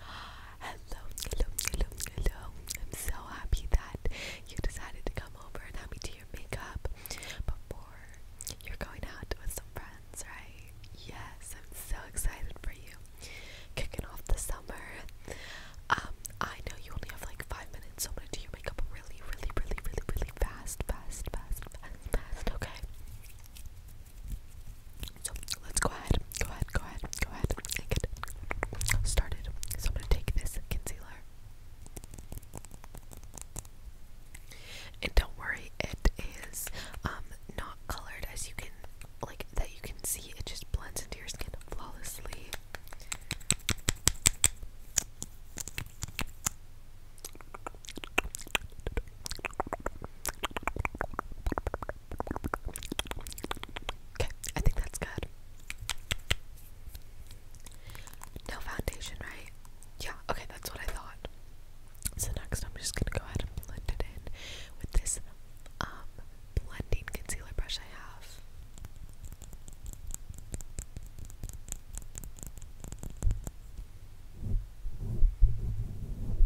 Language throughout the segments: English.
Hello, hello, hello, hello. I'm so happy that you decided to come over and help me do your makeup before you're going out with some friends, right? Yes, I'm so excited for you. Kicking off the summer. Um, I know you only have like five minutes, so I'm gonna do your makeup really, really, really, really, really fast, fast, fast, fast, fast, okay? So let's go ahead, go ahead, go ahead, go ahead and get started. So I'm gonna take this concealer. And don't worry, it is um not colored as you can like that you can see it just blends into your skin flawlessly. Okay, I think that's good. No foundation, right? Yeah, okay, that's what I thought. So next I'm just gonna go ahead and blend it in with this um blending concealer brush I have.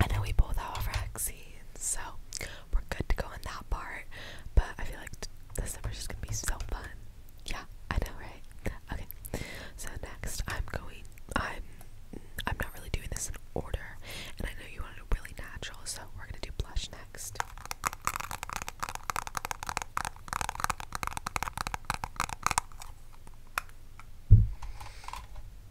I know we both have our vaccines, so we're good to go on that part. But I feel like this summer's just gonna be so fun. Yeah, I know, right? Okay. So next, I'm going. I'm. I'm not really doing this in order, and I know you wanted it really natural, so we're gonna do blush next.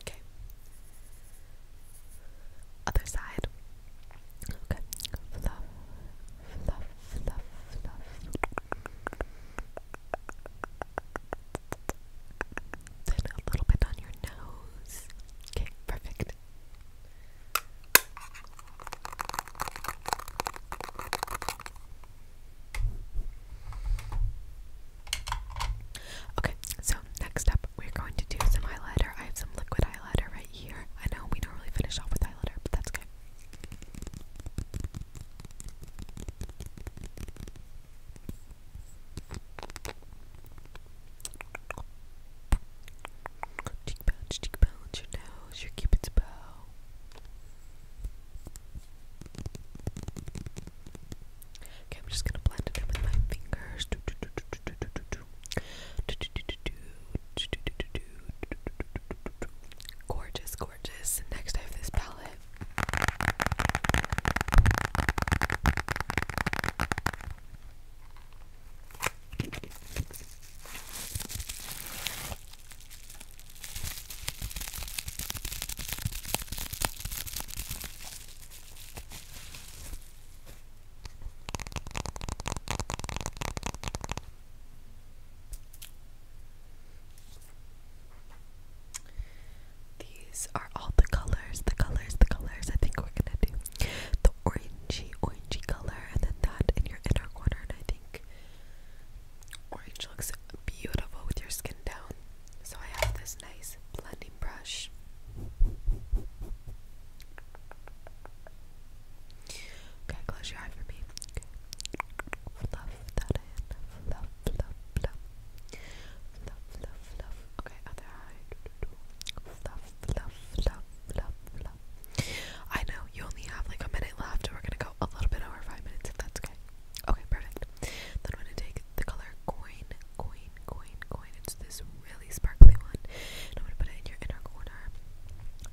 Okay. Other side. Okay. a little bit on your nose. Okay, perfect. Okay, so next up, we're going to do some highlighter. I have some liquid eyeliner right here. I know we don't really finish off with eyeliner, but that's okay. Okay, I'm just gonna blend it in with my fingers. Gorgeous, gorgeous. Next, I have this palette. These are all the colors, the colors, the colors. I think we're gonna do the orangey, orangey color, and then that in your inner corner. And I think Orange looks beautiful with your skin down. So I have this nice blending brush. Okay, close your eye for me. Okay. Fluff that Fluff, fluff, fluff. Fluff, fluff, fluff. Okay, other eye. Fluff, fluff, fluff, fluff, fluff. I know you only have like a minute left, and we're gonna go a little bit over five minutes if that's okay. Okay, perfect. Then I'm gonna take the color coin, coin, coin, coin. It's this really sparkly one. I'm gonna put it in your inner corner.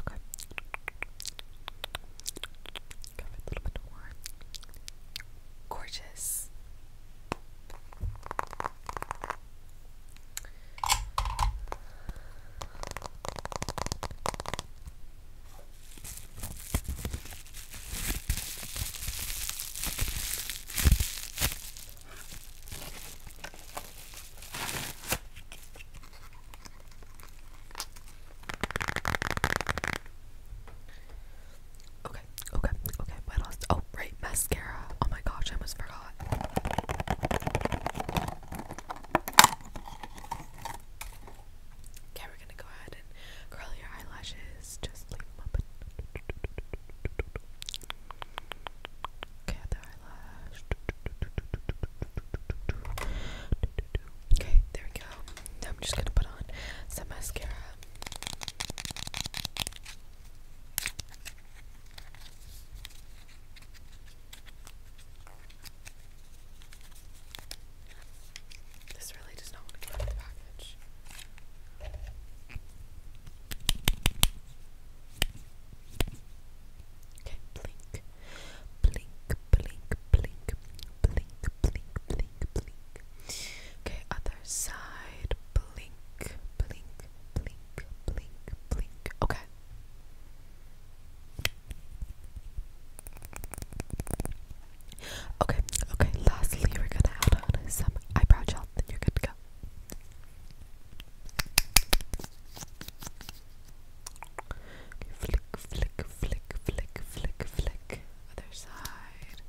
Okay. a little bit more. Gorgeous. Okay, okay, okay. What else? Oh, right, mascara. Oh my gosh, I almost forgot. Okay, we're gonna go ahead and curl your eyelashes. Just leave them up. Okay, the eyelash. Okay, there we go. Now I'm just gonna put on some mascara. This really does not want to go in the package. Okay, Blink, blink, blink, blink, blink, blink, blink. Okay, other side. Blink, blink, blink, blink, blink. Okay. Okay, okay, lastly, we're gonna add on some eyebrow gel, then you're good to go. Okay, flick, flick, flick, flick, flick, flick. Other side.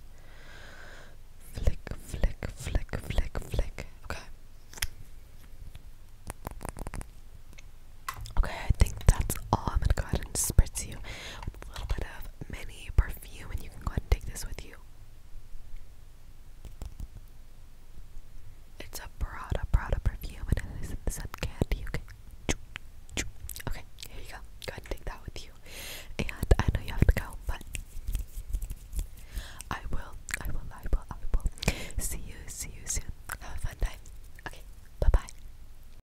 Flick, flick, flick, flick, flick. Okay. Okay, I think that's all. I'm gonna go ahead and spritz you a little bit of mini perfume, and you can go and take this with you. It's a Prada Prada perfume, and it is in candy. Okay, okay, here you go. Go and take that with you. And I know you have to go, but I will, I will, I will, I will. See you, see you soon. Have a fun time. Okay, bye bye.